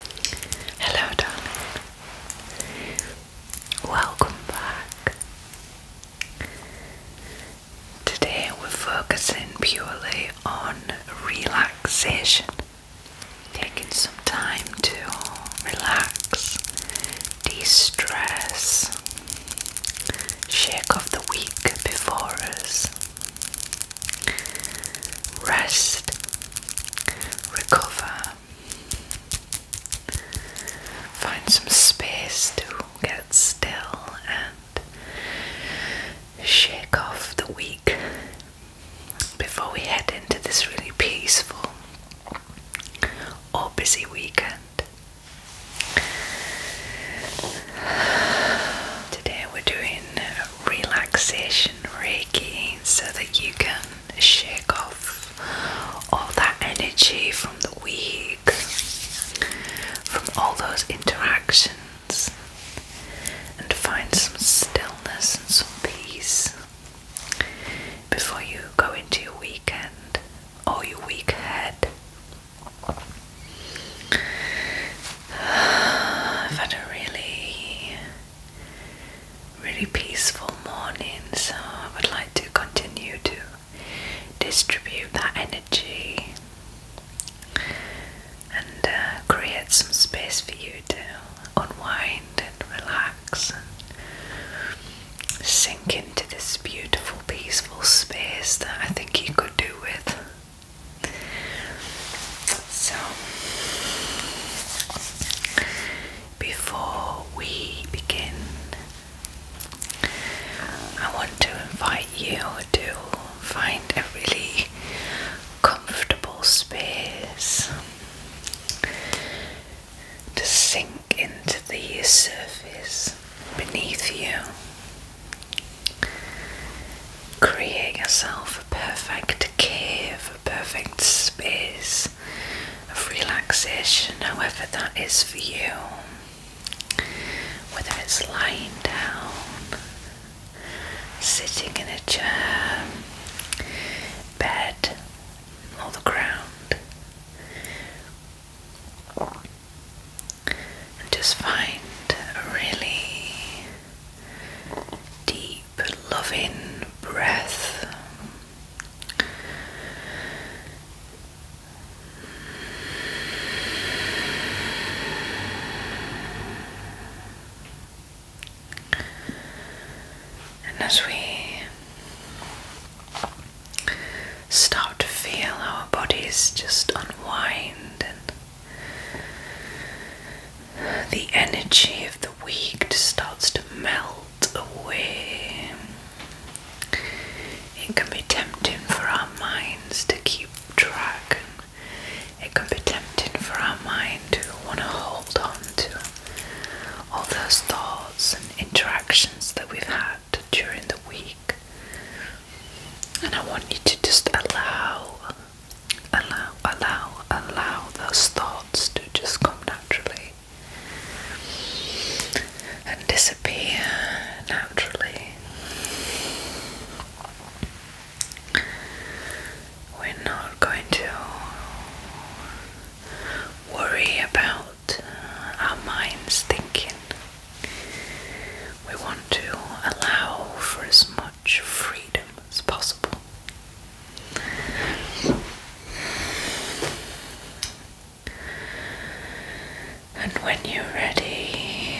Hello, darling. Welcome back. Today we're focusing purely on relaxation, taking some time to relax, de stress, shake off the week before us, rest recover, find some space to get still and shake off the week before we head into this really peaceful or busy weekend. Today we're doing relaxation, so that you can shake off all that energy from the week, from all those interactions, and find some stillness and some peace before you go into your weekend or your week ahead. I've had a really really peaceful morning, so I would like to continue to distribute that energy and uh, create some space for you to unwind and relax and sink into this beautiful, peaceful space that I think you could do with. So, before we begin, I want to invite you to find a really comfortable space to sink into the surface beneath you create yourself a perfect cave, a perfect space of relaxation, however that is for you. Whether it's lying down, sitting in a chair, bed, or the ground. And just find really deep, loving breath. And as we start to feel our bodies just unwind and the energy of the week starts to melt away. It can be tempting for our minds to keep track. It can be tempting for our mind to want to hold on to all those thoughts and interactions that we've had during the week. And I want you to just allow allow, allow, allow those thoughts to just come naturally and disappear naturally. We're not going to worry about our minds thinking. We want to allow for as much much freedom as possible. And when you're ready,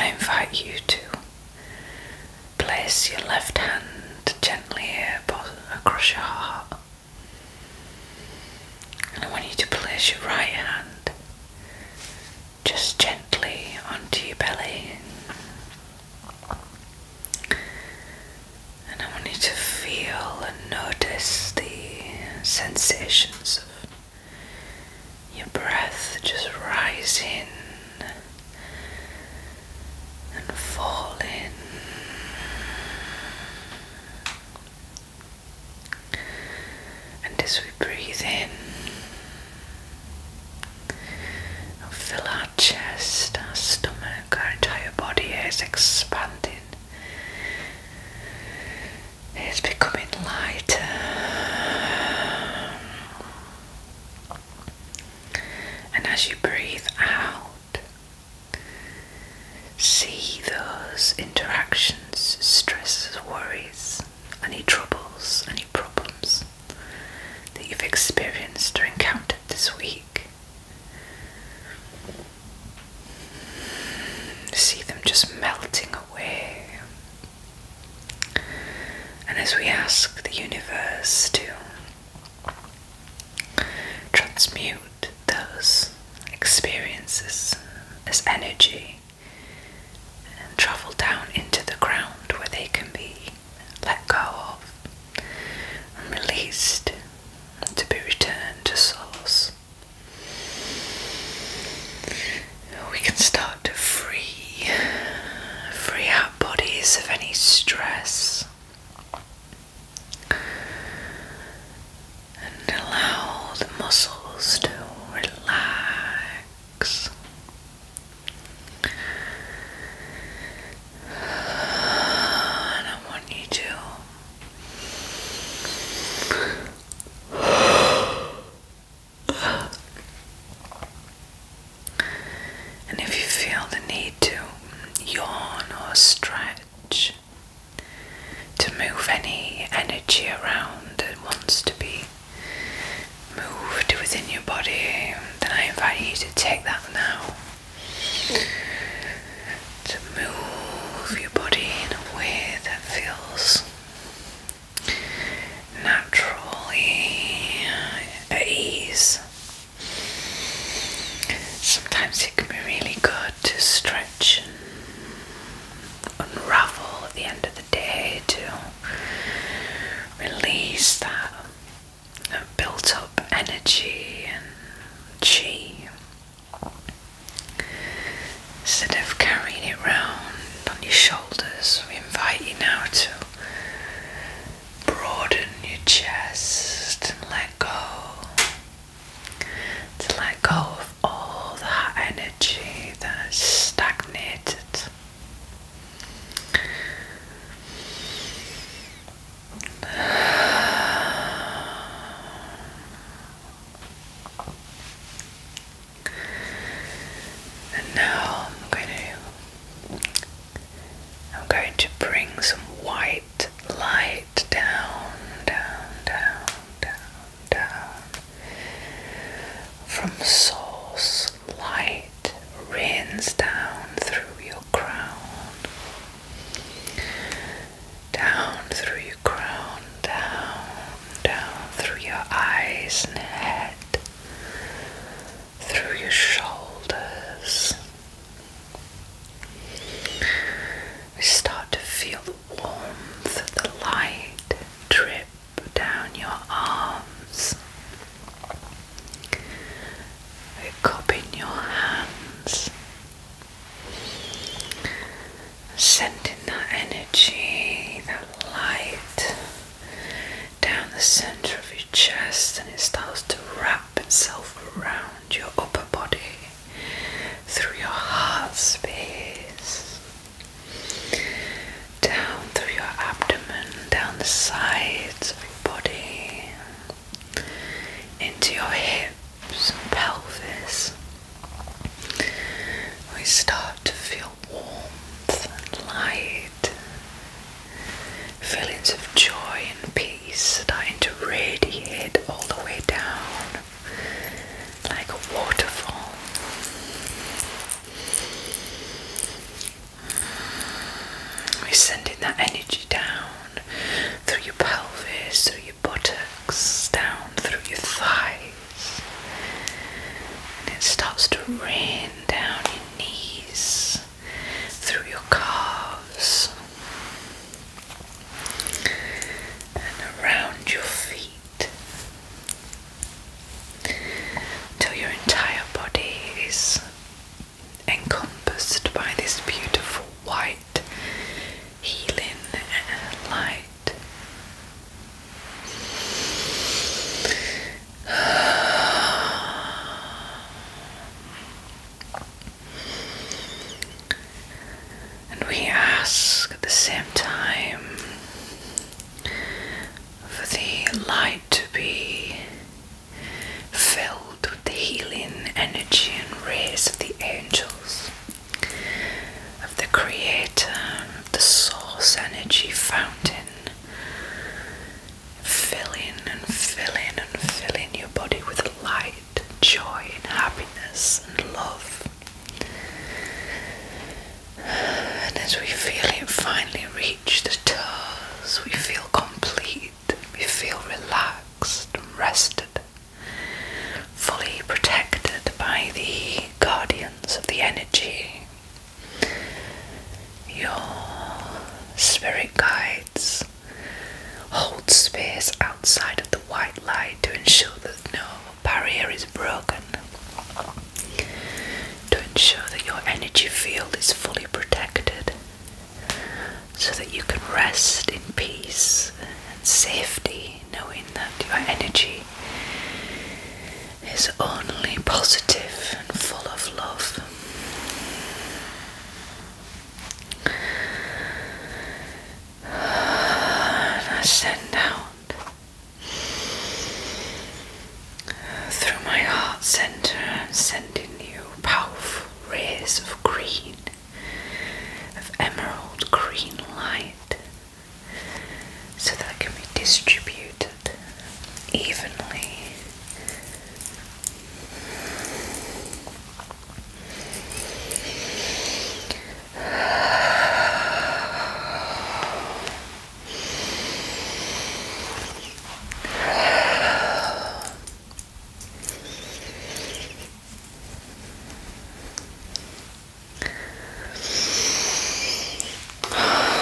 I invite you to place your left hand gently across your heart. And I want you to place your right hand just gently onto your belly. And I want you to feel and notice the sensations of your breath just rising and falling. And as we breathe in, and fill our chest, our stomach, our entire body is expanding. It's becoming lighter. And as you breathe out, see those interactions, stresses, worries, any troubles, any problems that you've experienced or encountered this week. See them just melting away. And as we ask the universe to transmute those experiences as energy and travel down into the ground where they can be let go of and released to be returned to source. We can start to free, free our bodies of any stress and allow the muscles to relax. And I want you to. And if you feel the need to yawn or stretch to move any energy around that wants to be moved within your body, then I invite you to take that now. To move your body in a way that feels naturally at ease. Sometimes it can be really good to stretch and ruffle at the end of the day too release that built up energy and chi. Instead of carrying it around on your shoulders, we invite you now to broaden your chest and let go. To let go of all the energy that's stagnated and now I'm going to I'm going to bring some white light down, down, down, down, down, from source, light rains down through your crown, down through your crown, down, down through your eyes and head, through your shoulders. We start to feel the warmth of the light drip Put down your arms, a cup in your hands, sending that energy, that light down the center of your chest, and it starts to wrap itself around your upper body through your heart space down through your abdomen, down the sides of your body, into your hips and pelvis. We start to feel warmth and light, feelings of joy and peace starting to radiate all the way down like a waterfall. We're sending that energy down through your pelvis, through your buttocks, down through your thighs, and it starts to rain down your knees, through your calves, and around your feet till your entire body is encompassed by this beautiful white healing light. And we ask at the same time for the light to be filled with the healing energy and rays of the angels, of the Creator, the Source Energy Fountain, fill in and fill in and fill in your body with light, joy, and happiness and love. And as we feel it finally reach the toes, we feel complete, we feel relaxed, rested, fully protected by the guardians of the energy. Your spirit guides hold space outside of the white light to ensure that no barrier is broken. To ensure that your energy field is fully protected, so that you can rest in peace and safety, knowing that your energy is only positive and full of love. I send out through my heart center, sending you powerful rays of green, of emerald green light, so that it can be distributed evenly.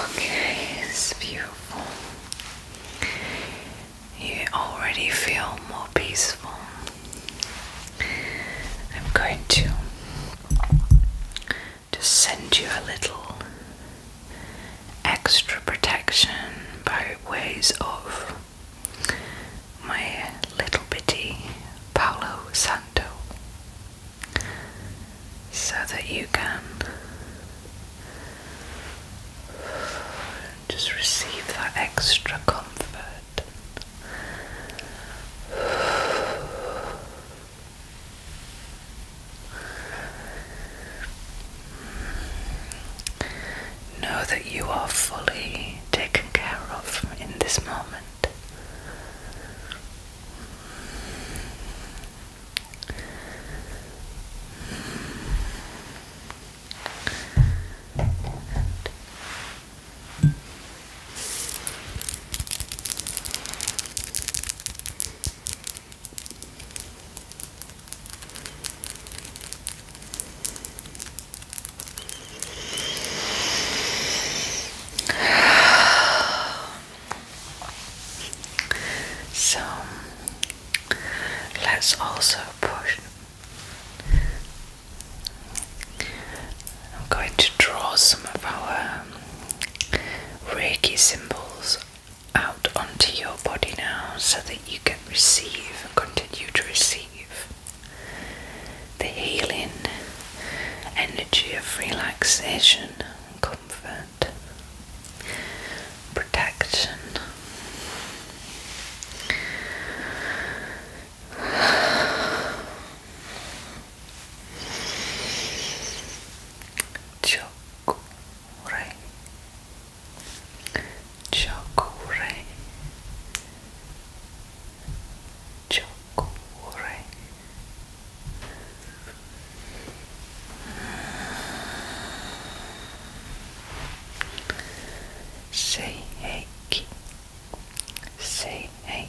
Okay, it's beautiful. You already feel more peaceful. I'm going to to send you a little extra protection by ways of my little bitty Paolo Santo so that you can just receive that extra comfort. Know that you are fully taken care of in this moment. So let's also push I'm going to draw some of our um, Reiki symbols out onto your body now so that you can receive and continue to receive the healing energy of relaxation and comfort, protection. Chokure, chokure, chokure. Say hey,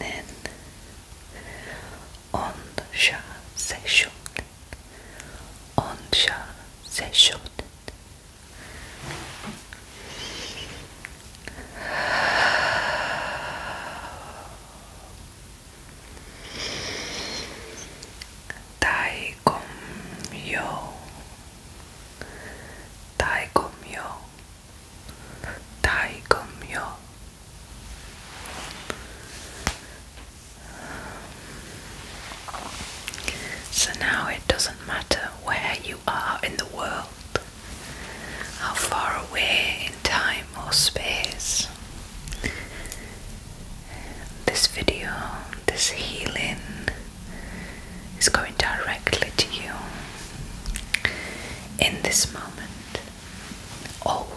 nen onşa seşoten onşa seşoten Taikomyo Taikomyo so now it doesn't matter where you are in the world, how far away in time or space. This video, this healing, is going directly to you in this moment, always.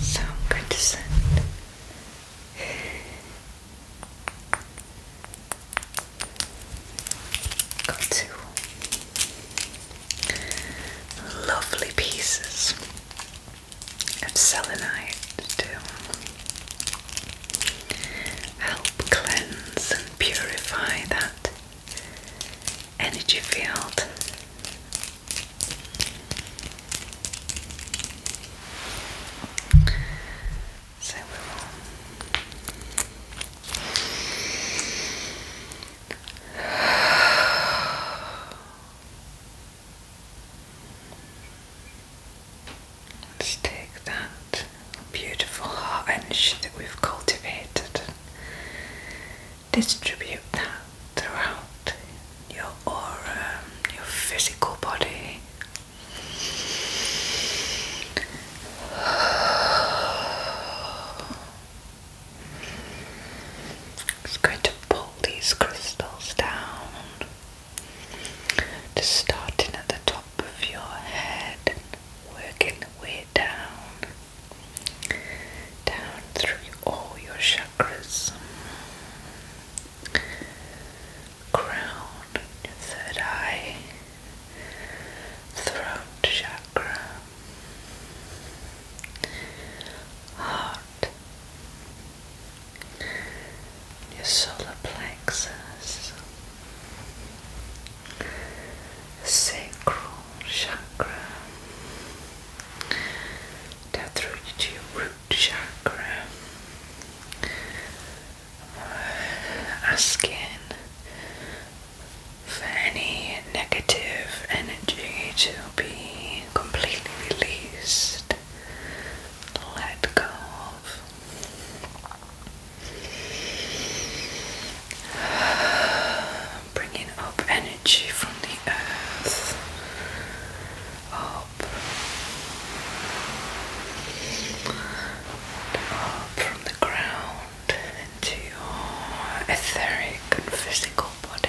So i to send got two lovely pieces of selenite too help cleanse and purify that energy field. So let's take that beautiful heart-inch that we've cultivated and distribute that throughout your aura, your physical body. It's going to pull these crystals down, starting at the top of your head working the way down, down through all your chakras, crown, third eye, throat chakra, heart, your solar plexus sacral chakra down root chakra asking for any negative energy to be completely released let go of Bringing up energy from the earth up up from the ground into your etheric and physical body.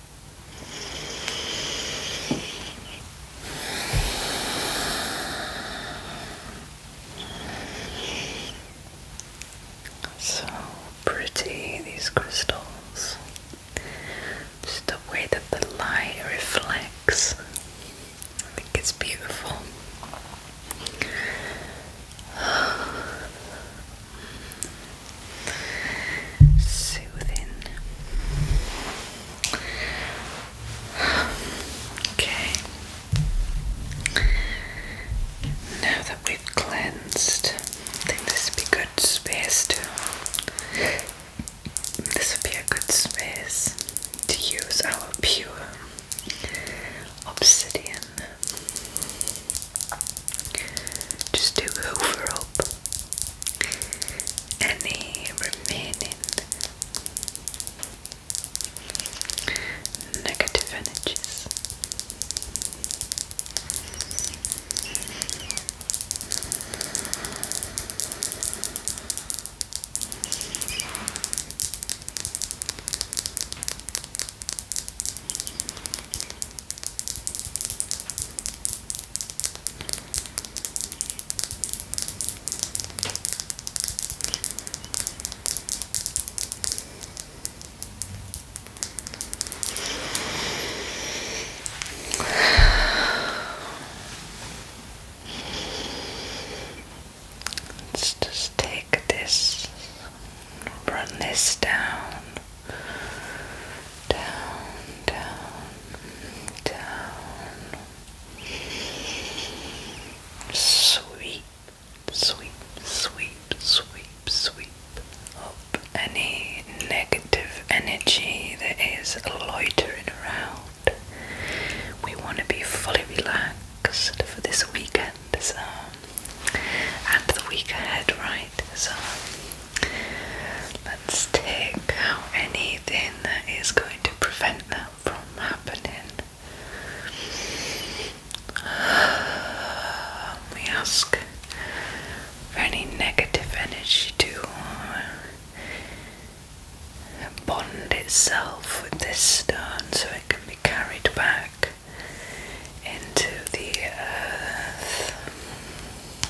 So pretty, these crystals. Just the way that the light reflects. I think it's beautiful soothing. Okay. Now that we've cleansed, I think this would be a good space to. This would be a good space to use our pure obsidian. Just do hoover up any remaining negative energies. Let's just take this, run this down down, down, down. Sweep, sweep, sweep, sweep, sweep up any negative energy that is loitering around. We want to be fully relaxed for this weekend, so and the week ahead, right? So Let's take out anything that is going to prevent that from happening. We ask for any negative energy to uh, bond itself with this stone so it can be carried back into the earth.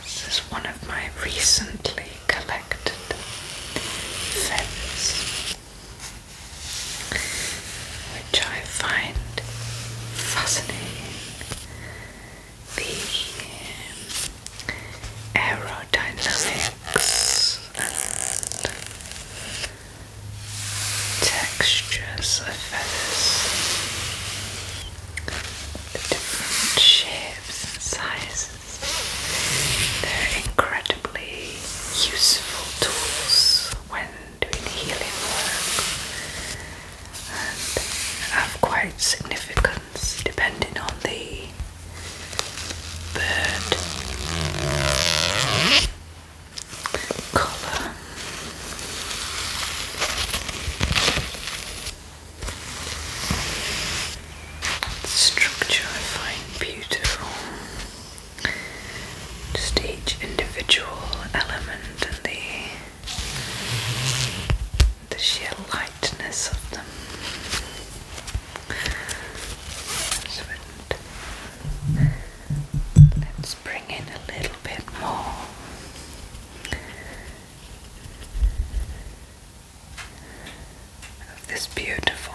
This is one of my recently collected feathers, which I find fascinating. The um, aerodynamics and textures of feathers the different shapes and sizes. They're incredibly useful tools when doing healing work and have quite significance depending on the bird colour structure I find beautiful. Stage, individual element and the the sheer lightness of them. So let's bring in a little bit more of this beautiful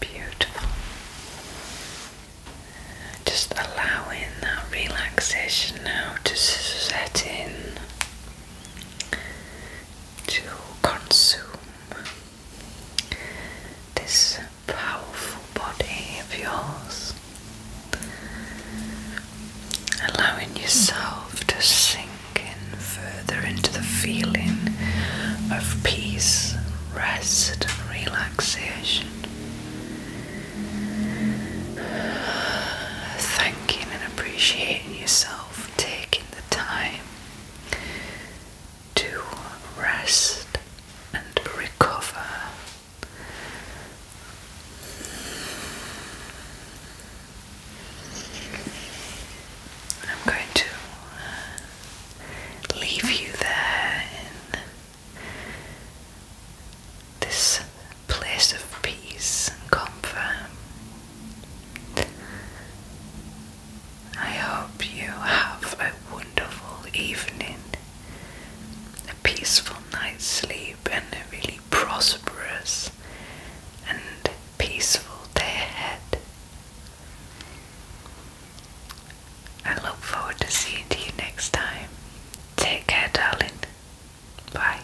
Beautiful. Just allowing that relaxation now to set in to consume this powerful body of yours, allowing yourself to sink in further into the feeling of peace, rest, and relaxation. Thanking and appreciating yourself taking the time to rest and recover. I'm going to uh, leave you there in this place of peace and comfort I hope you have a wonderful evening, a peaceful night's sleep, and a really prosperous and peaceful day ahead. I look forward to seeing you next time. Take care, darling. Bye.